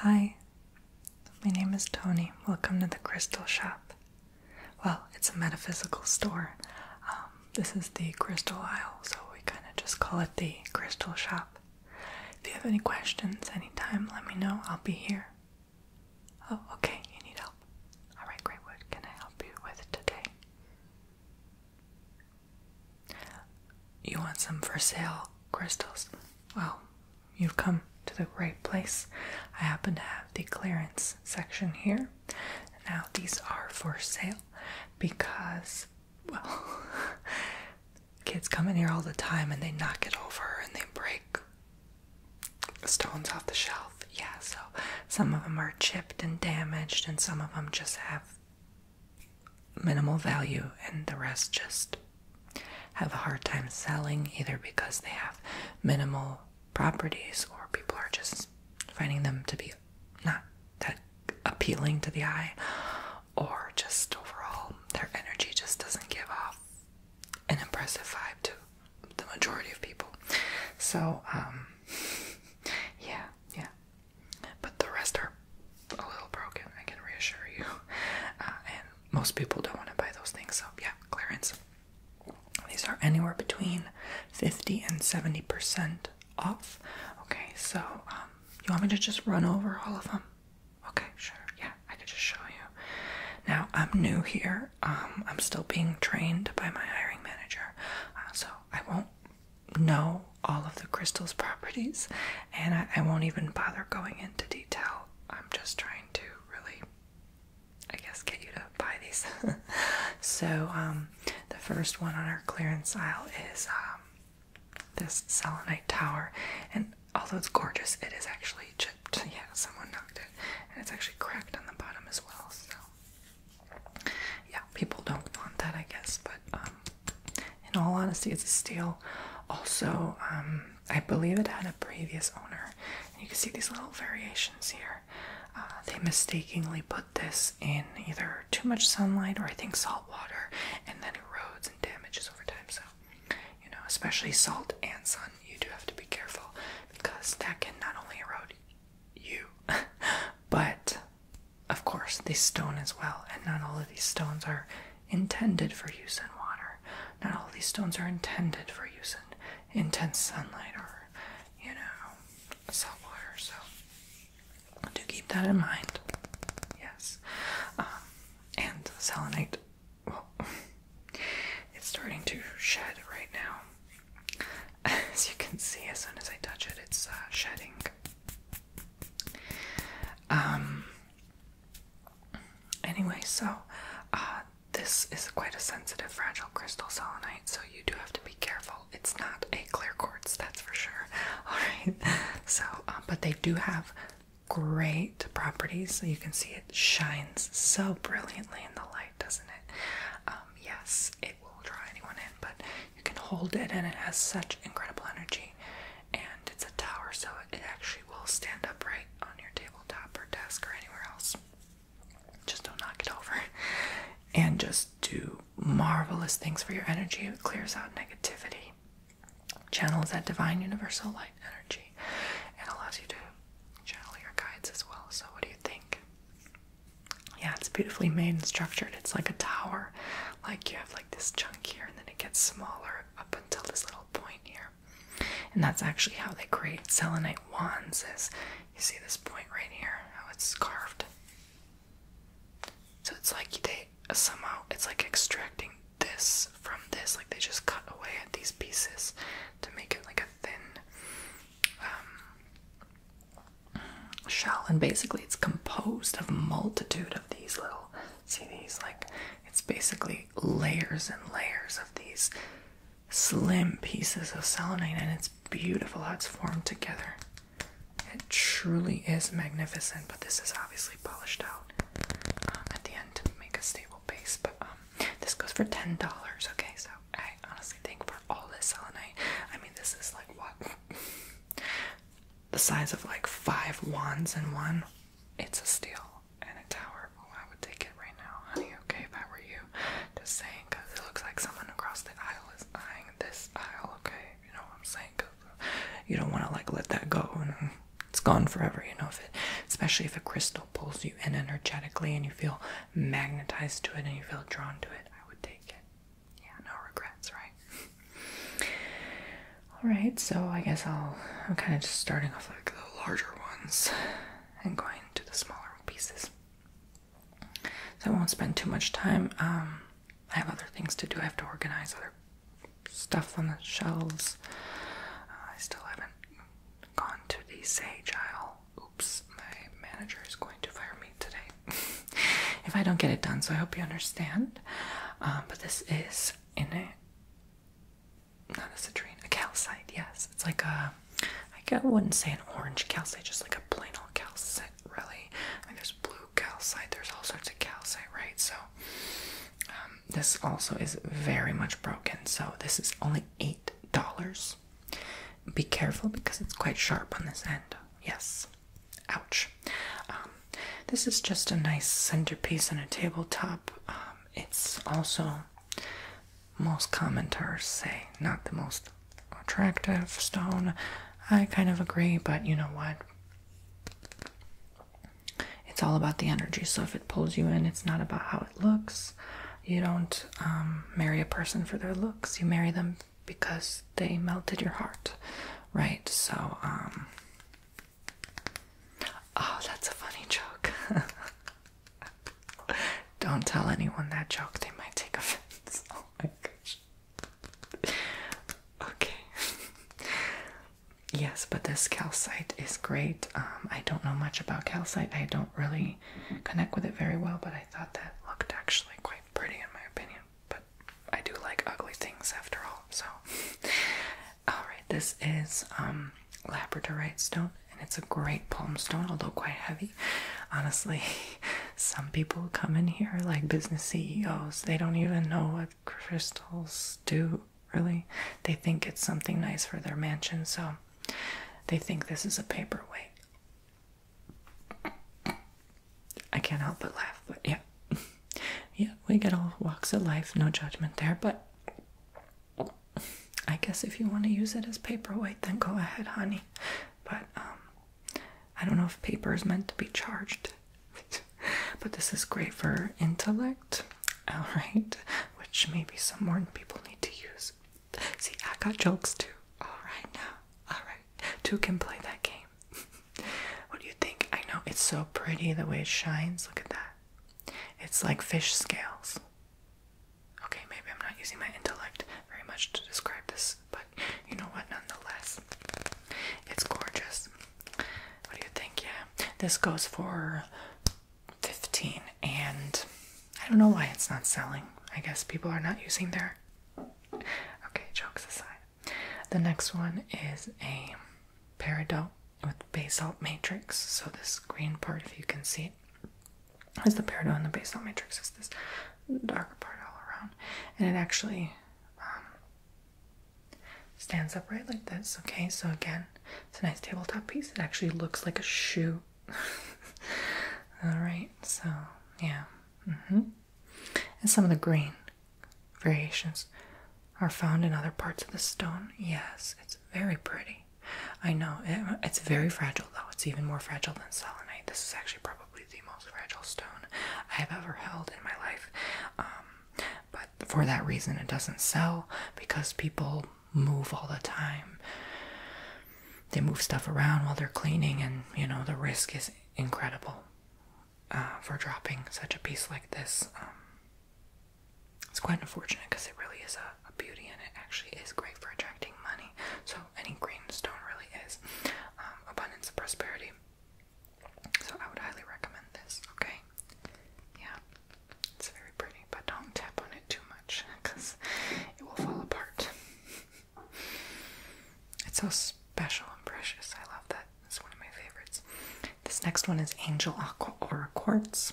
Hi, my name is Tony. Welcome to the Crystal Shop. Well, it's a metaphysical store. Um, this is the Crystal Aisle, so we kind of just call it the Crystal Shop. If you have any questions anytime, let me know. I'll be here. Oh, okay, you need help. Alright, great. can I help you with today? You want some for sale crystals? Well, you've come to the right place. I happen to have the clearance section here. Now, these are for sale because, well, kids come in here all the time and they knock it over and they break stones off the shelf. Yeah, so some of them are chipped and damaged, and some of them just have minimal value, and the rest just have a hard time selling either because they have minimal properties or people are just finding them to be not that appealing to the eye, or just overall their energy just doesn't give off an impressive vibe to the majority of people. So, um, yeah, yeah. But the rest are a little broken, I can reassure you. Uh, and most people don't want to buy those things, so yeah, clearance. These are anywhere between 50 and 70% off. Okay, so um, you want me to just run over all of them? Okay, sure. Yeah, I could just show you. Now, I'm new here. Um, I'm still being trained by my hiring manager, uh, so I won't know all of the crystal's properties, and I, won't even bother going into detail. I'm just trying to really, I guess, get you to buy these. so, um, the first one on our clearance aisle is um, this selenite tower, and although it's gorgeous, it is actually chipped. Yeah, someone knocked it, and it's actually cracked on the bottom as well. So, yeah, people don't want that, I guess, but um, in all honesty, it's a steal. Also, um, I believe it had a previous owner. you can see these little variations here. Uh, they mistakenly put this in either too much sunlight or I think salt water, and then erodes and damages over time. So, you know, especially salt and sun, you do have to be careful because that can not only erode you, but of course, this stone as well. And not all of these stones are intended for use in water. Not all of these stones are intended for use in intense sunlight or, you know, salt water. So do keep that in mind. Yes. Um, and selenite, well, it's starting to shed right now. As you can see, as soon as I touch it, it's uh, shedding. Um. Anyway, so uh, this is quite a sensitive, fragile crystal selenite, so you do have to be careful. It's not a clear quartz, that's for sure. All right. So, um, but they do have great properties. So you can see it shines so brilliantly in the light, doesn't it? Um, yes, it will draw anyone in, but you can hold it and it has such incredible energy. And it's a tower, so it actually will stand upright on your tabletop or desk or anywhere else. Just don't knock it over. And just do marvelous things for your energy. It clears out negativity, channels that divine universal light energy, and allows you to channel your guides as well. So, what do you think? yeah, it's beautifully made and structured. It's like a tower. Like you have like this chunk here and then it gets smaller up until this little point here. And that's actually how they create selenite wands is you see this point right here, how it's carved. So it's like they uh, somehow it's like extracting this from this, like they just cut away at these pieces to make it like a thin um, shell, and basically it's composed of a multitude of these little. See these? Like it's basically layers and layers of these slim pieces of selenite, and it's beautiful how it's formed together. It truly is magnificent, but this is obviously polished out uh, at the end to make a stable base. But um, this goes for ten dollars. Okay, so I honestly think for all this selenite, I mean, this is like what? the size of like five wands in one. It's a steal and a tower. Oh, I would take it right now, honey. Okay, if I were you, just saying, because it looks like someone across the aisle is eyeing this aisle. Okay, you know what I'm saying? Cause uh, you don't want to like let that go, and it's gone forever. You know, if it, especially if a crystal pulls you in energetically, and you feel magnetized to it and you feel drawn to it, I would take it. Yeah, no regrets, right? Alright, so I guess I'll I'm kinda just starting off like the larger ones and going to the smaller pieces. So I won't spend too much time. Um I have other things to do. I have to organize other stuff on the shelves. Uh, I still haven't gone to the sage aisle oops, my manager is going to fire me today if I don't get it done. So I hope you understand. Um, but this is in a not a citrine, a calcite. Yes, it's like a I wouldn't say an orange calcite, just like a plain old calcite. Really, I mean, there's blue calcite. There's all sorts of calcite, right? So. Um, this also is very much broken, so this is only eight dollars. Be careful because it's quite sharp on this end. Yes. Ouch. Um, this is just a nice centerpiece on a tabletop. Um, it's also, most commenters say, not the most attractive stone. I kind of agree, but you know what? It's all about the energy. So if it pulls you in, it's not about how it looks. You don't um, marry a person for their looks. You marry them because they melted your heart, right? So, um, oh, that's a funny joke. don't tell anyone that joke, they might take offense. Oh my gosh. Okay. yes, but this calcite is great. Um, I don't know much about calcite, I don't really connect with it very well, but I. I thought that looked actually quite pretty in my opinion. But I do like ugly things after all, so. Alright, this is um, Labradorite stone, and it's a great palm stone, although quite heavy. Honestly, some people come in here, like business CEOs, they don't even know what crystals do, really. They think it's something nice for their mansion, so they think this is a paperweight. I can't help but laugh, but yeah. yeah, we get all walks of life, no judgment there, but I guess if you want to use it as paperweight, then go ahead, honey. But um, I don't know if paper is meant to be charged. but this is great for intellect, alright, which maybe some more people need to use. See, I got jokes too. Alright now. Alright. Two can play that game. what do you think? I know it's so pretty the way it shines. Look at that. It's like fish scales. Okay, maybe I'm not using my intellect very much to describe this, but you know what? Nonetheless, it's gorgeous. What do you think? Yeah, this goes for 15 and I don't know why it's not selling. I guess people are not using their Okay, jokes aside. The next one is a peridot with basalt matrix. So this green part if you can see it is the peridot and the basalt matrix is this darker part all around. And it actually um, stands upright like this. Okay, so again, it's a nice tabletop piece. It actually looks like a shoe Alright, so yeah. Mm-hmm. And some of the green variations are found in other parts of the stone. Yes, it's very pretty. I know, it's very fragile though. It's even more fragile than selenite. This is actually probably the most fragile stone I have ever held in my life. Um, but for that reason, it doesn't sell because people move all the time. They move stuff around while they're cleaning, and you know, the risk is incredible uh, for dropping such a piece like this. Um, it's quite unfortunate because it really is a, beauty and it actually is great for attracting money. So, any green stone really is um, abundance of prosperity. So, I would highly recommend this, okay? Yeah. It's very pretty, but don't tap on it too much because it will fall apart. it's so special and precious. I love that. It's one of my favorites. This next one is Angel Aqua Aura Quartz.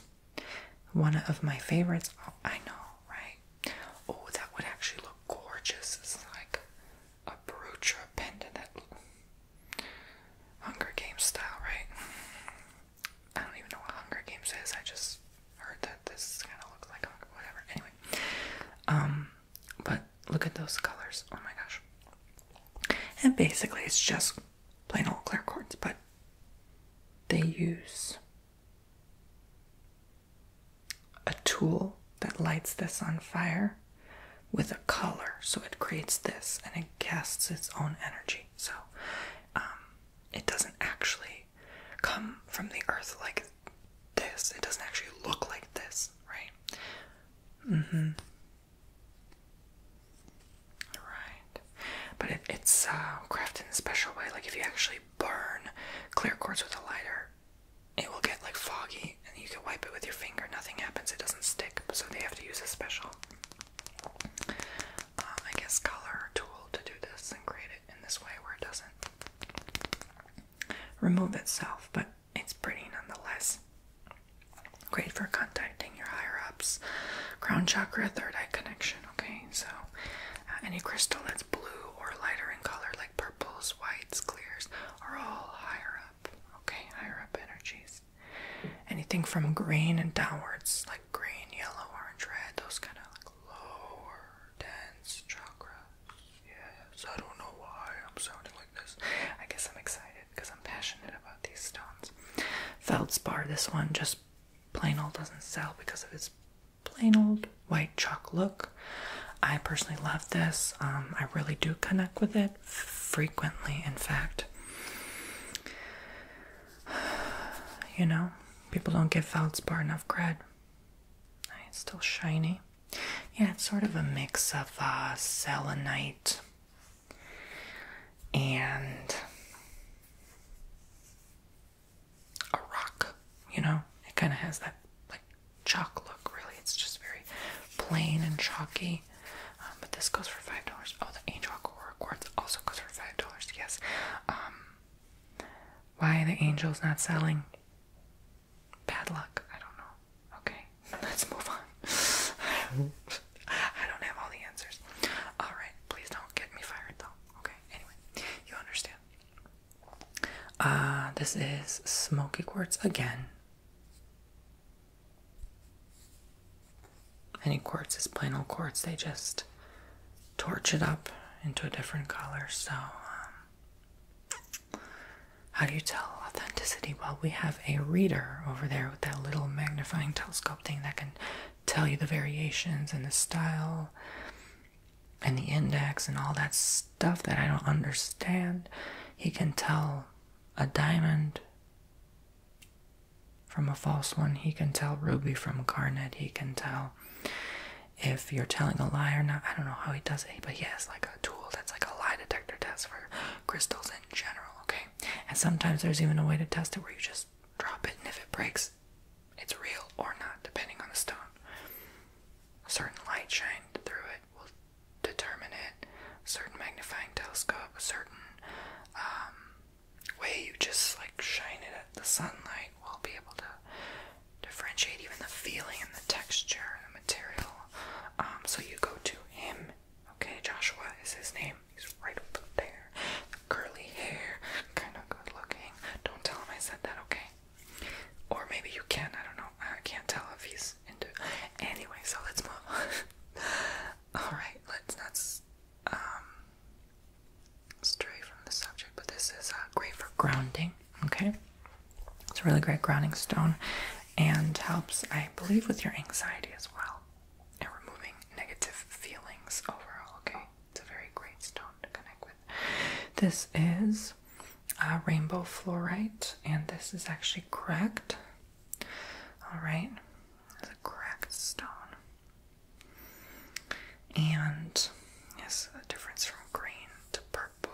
One of my favorites. Oh, I know, right? Oh, that would actually look gorgeous. It's like a brooch or a pendant. Hunger Games style, right? I don't even know what Hunger Games is. I just heard that this kind of looks like Hunger, whatever. Anyway, um, but look at those colors. Oh my gosh. And basically, it's just plain old clear cords, but they use a tool that lights this on fire with a color, so it creates this and it casts its own energy. So, um, it doesn't actually come from the earth like this. It doesn't actually look like this, right? Mm-hmm. Right. But it's uh, crafted in a special way. Like if you actually burn clear quartz with a lighter, it will get like foggy and you can wipe it with your finger. Nothing happens. It doesn't stick. So they have to use a special um, I guess, color tool to do this and create it in this way where it doesn't remove itself, but it's pretty nonetheless. Great for contacting your higher ups. Crown chakra, third eye connection. Okay, so uh, any crystal that's blue or lighter in color, like purples, whites, clears, are all higher up. Okay, higher up energies anything from green and downwards, like green, yellow, orange, red, those kind of like lower dense chakras. Yes, I don't know why I'm sounding like this. I guess I'm excited because I'm passionate about these stones. Feldspar, this one just plain old doesn't sell because of its plain old white chalk look. I personally love this. Um, I really do connect with it frequently, in fact. you know, people don't give feldspar enough credit. It's still shiny. Yeah, it's sort of a mix of uh, selenite and a rock, you know? It kind of has that like chalk look, really. It's just very plain and chalky um, but this goes for $5. Oh, the Angel Aurora Quartz also goes for $5, yes. Um, why the Angel's not selling? Bad luck, I don't know. Okay, let's move on. I don't have all the answers. Alright, please don't get me fired though. Okay, anyway, you understand. Uh, this is smoky quartz again. Any quartz is plain old quartz. They just torch it up into a different color. So, um, how do you tell authenticity? Well, we have a reader over there with that little magnifying telescope thing that can tell you the variations and the style and the index and all that stuff that I don't understand. He can tell a diamond from a false one. He can tell Ruby from Garnet. He can tell if you're telling a lie or not. I don't know how he does it, but he has like a tool that's like a lie detector test for crystals in general, okay? And sometimes there's even a way to test it where you just drop it, and if it breaks, it's real or not, depending on the stone. A certain light shined through it determine it, certain magnifying telescope, a certain um, way you just like shine it at the sunlight, we'll be able to differentiate even the feeling and the texture and the material. Um, so you go to him, okay? Joshua is his name. He's right over there. curly hair, kind of good looking. Don't tell him I said that, okay? Or maybe you can, I don't know. I can't tell if he's into. Anyway, so let's move on. All right, let's not um, stray from the subject, but this is uh, great for grounding. Okay, it's a really great grounding stone, and helps, I believe, with your anxiety as well, and removing negative feelings overall. Okay, it's a very great stone to connect with. This is a uh, rainbow fluorite, and this is actually correct. Alright, it's a cracked stone. And yes, the difference from green to purple.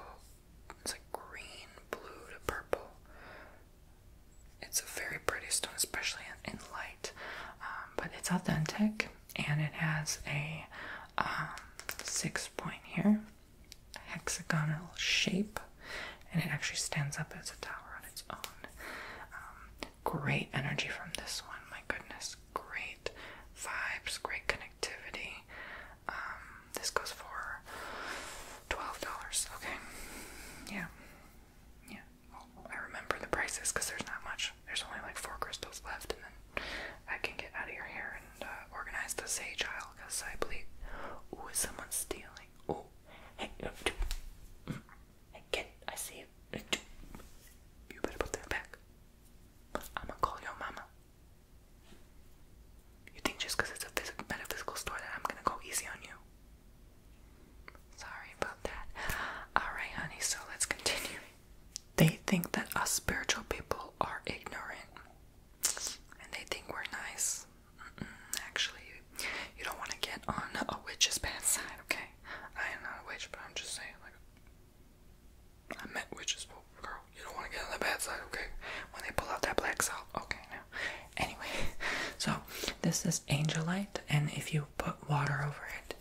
It's like green, blue to purple. It's a very pretty stone, especially in, light. Um, but it's authentic and it has a um, six point here hexagonal shape, and it actually stands up as a tower on its own. Um, great energy from this one, my goodness, great vibes, great connectivity. Um, this goes for twelve dollars. Okay, yeah, yeah. I remember the prices because there's not much. There's only like four crystals left, and then I can get out of here and uh, organize the sage aisle because I believe. Ooh, is someone stealing? oh, hey, kid, I see you. You better put that back. I'ma call your mama. You think just because it's a physical, metaphysical store that I'm gonna go easy on you? Sorry about that. Alright, honey, so let's continue. They think that us spiritual people are ignorant and they think we're nice. Actually, you don't want to get on a witch's bad side, okay? I am not a witch, but I'm just saying, like, I met witches, but girl, you don't want to get on the bad side, okay? When they pull out that black salt, okay, now. Anyway, so this is angelite, and if you put water over it,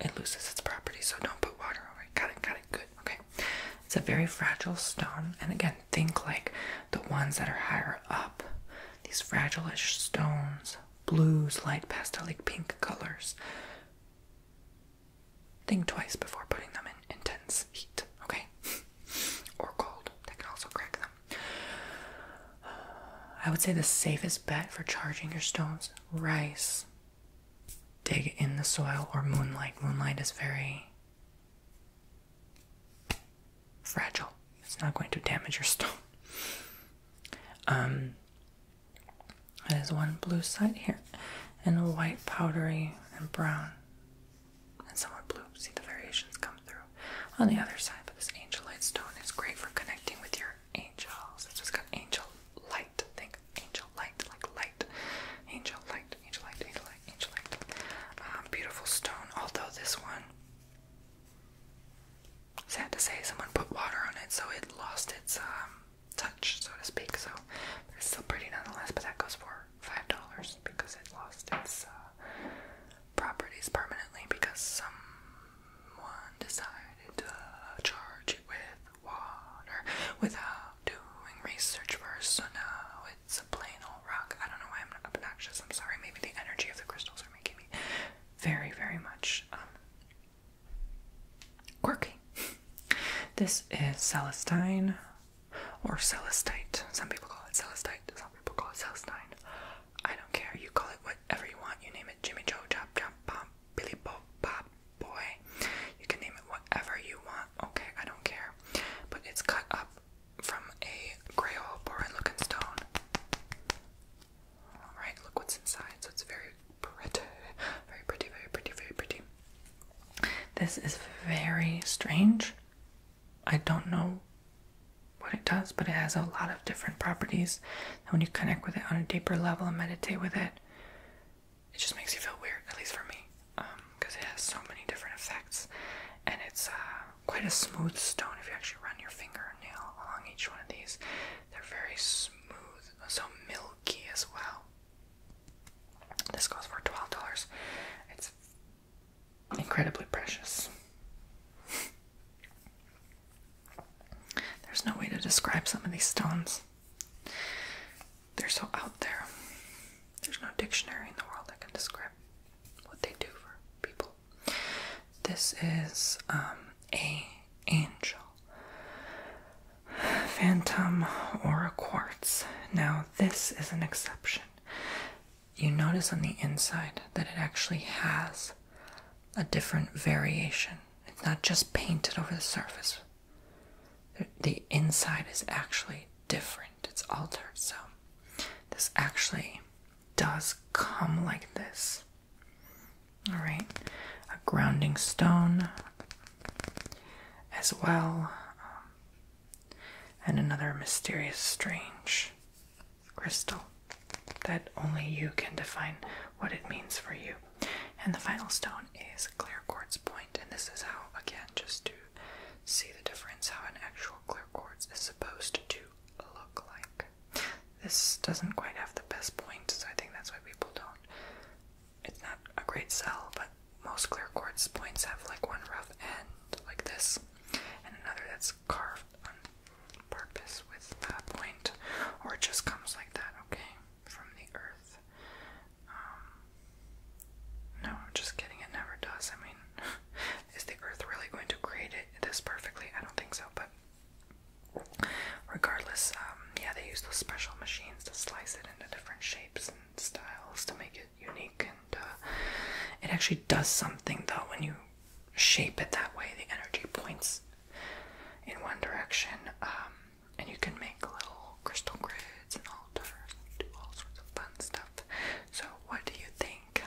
it loses its property, so don't put water over it. Got it, got it, good. Okay. It's a very fragile stone. And again, think like the ones that are higher up. These fragileish stones. Blues, light pastel, like pink colors. Think twice before putting them in intense heat. Okay? or cold. That can also crack them. I would say the safest bet for charging your stones, rice. Dig in the soil or moonlight. Moonlight is very fragile. It's not going to damage your stone. Um, that is one blue side here, and white, powdery, and brown, and somewhat blue. See the variations come through on the other side. But this angelite stone is great for connecting with your angels. It's just got angel light. Think angel light, like light, angel light, angel light, angel um, beautiful stone. Although this one, sad to say, someone put water on it, so it lost its um, touch, so to speak. So it's still pretty nonetheless. But that goes for five dollars because it lost its uh, properties permanently because someone decided to charge it with water without doing research first, so now it's a plain old rock. I don't know why I'm obnoxious. I'm sorry. Maybe the energy of the crystals are making me very, very much um, quirky. this is Celestine or Celestite. Some people call it Celestite. Some people call it Celestine. I don't care. You call it whatever you want. You name it. Jimmy Joe, Chop Chop Pop, Billy Bob Pop, boy. You can name it whatever you want. Okay, I don't care. But it's cut up from a Grail-Borin looking stone. Alright, look what's inside. So it's very pretty. Very pretty, very pretty, very pretty. This is very strange. I don't know what it does, but it has a lot of different properties. And when you connect with it on a deeper level and meditate with it, it just makes you feel weird, at least for me, because um, it has so many different effects, and it's uh, quite a smooth stone if you actually run your finger nail along each one of these. They're very smooth, so milky as well. This goes for twelve dollars. It's incredibly precious. There's no way to describe some of these stones. They're so out there. There's no dictionary in the world that can describe what they do for people. This is um, a angel, phantom, or a quartz. Now this is an exception. You notice on the inside that it actually has a different variation. It's not just painted over the surface the inside is actually different, it's altered. So, this actually does come like this. All right, a grounding stone as well, um, and another mysterious, strange crystal that only you can define what it means for you. And the final stone is clear quartz point, and this is how, again, just to see the difference, how an actual clear quartz is supposed to look like. This doesn't quite have the best point, so I think that's why people don't. It's not a great sell, but most clear quartz points have like one rough end, like this, and another that's carved on purpose with a point, or it just comes like that, okay, from the earth. Um, no, I'm just kidding. It never does. I mean, is the Earth really going to create it this perfectly? I don't think so. But regardless, um, yeah, they use those special machines to slice it into different shapes and styles to make it unique. And uh, it actually does something though when you shape it that way. The energy points in one direction. Um, and you can make little crystal grids and altars and do all sorts of fun stuff. So, what do you think?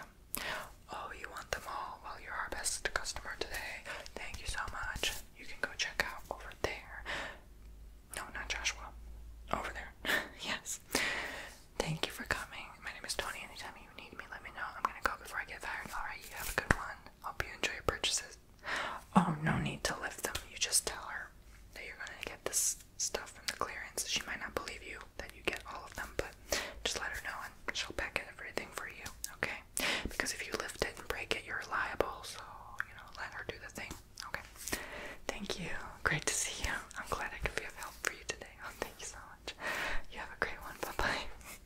Oh, you want them all? Well, you're our best customer today. Thank you so much. You can go check out over there. No, not Joshua. Over there. yes. Thank you for coming. My name is Tony. Anytime you need me, let me know. I'm gonna go before I get fired. Alright, you have a good one. Hope you enjoy your purchases. Oh, no need to lift them. You just tell her that you're gonna get this stuff from the clearance. She might not believe you that you get all of them, but just let her know and she'll pack everything for you, okay? Because if you lift it and break it, you're liable, so, you know, let her do the thing, okay? Thank you. Great to see you. I'm glad I could be of help for you today. Oh, thank you so much. You have a great one. Bye bye.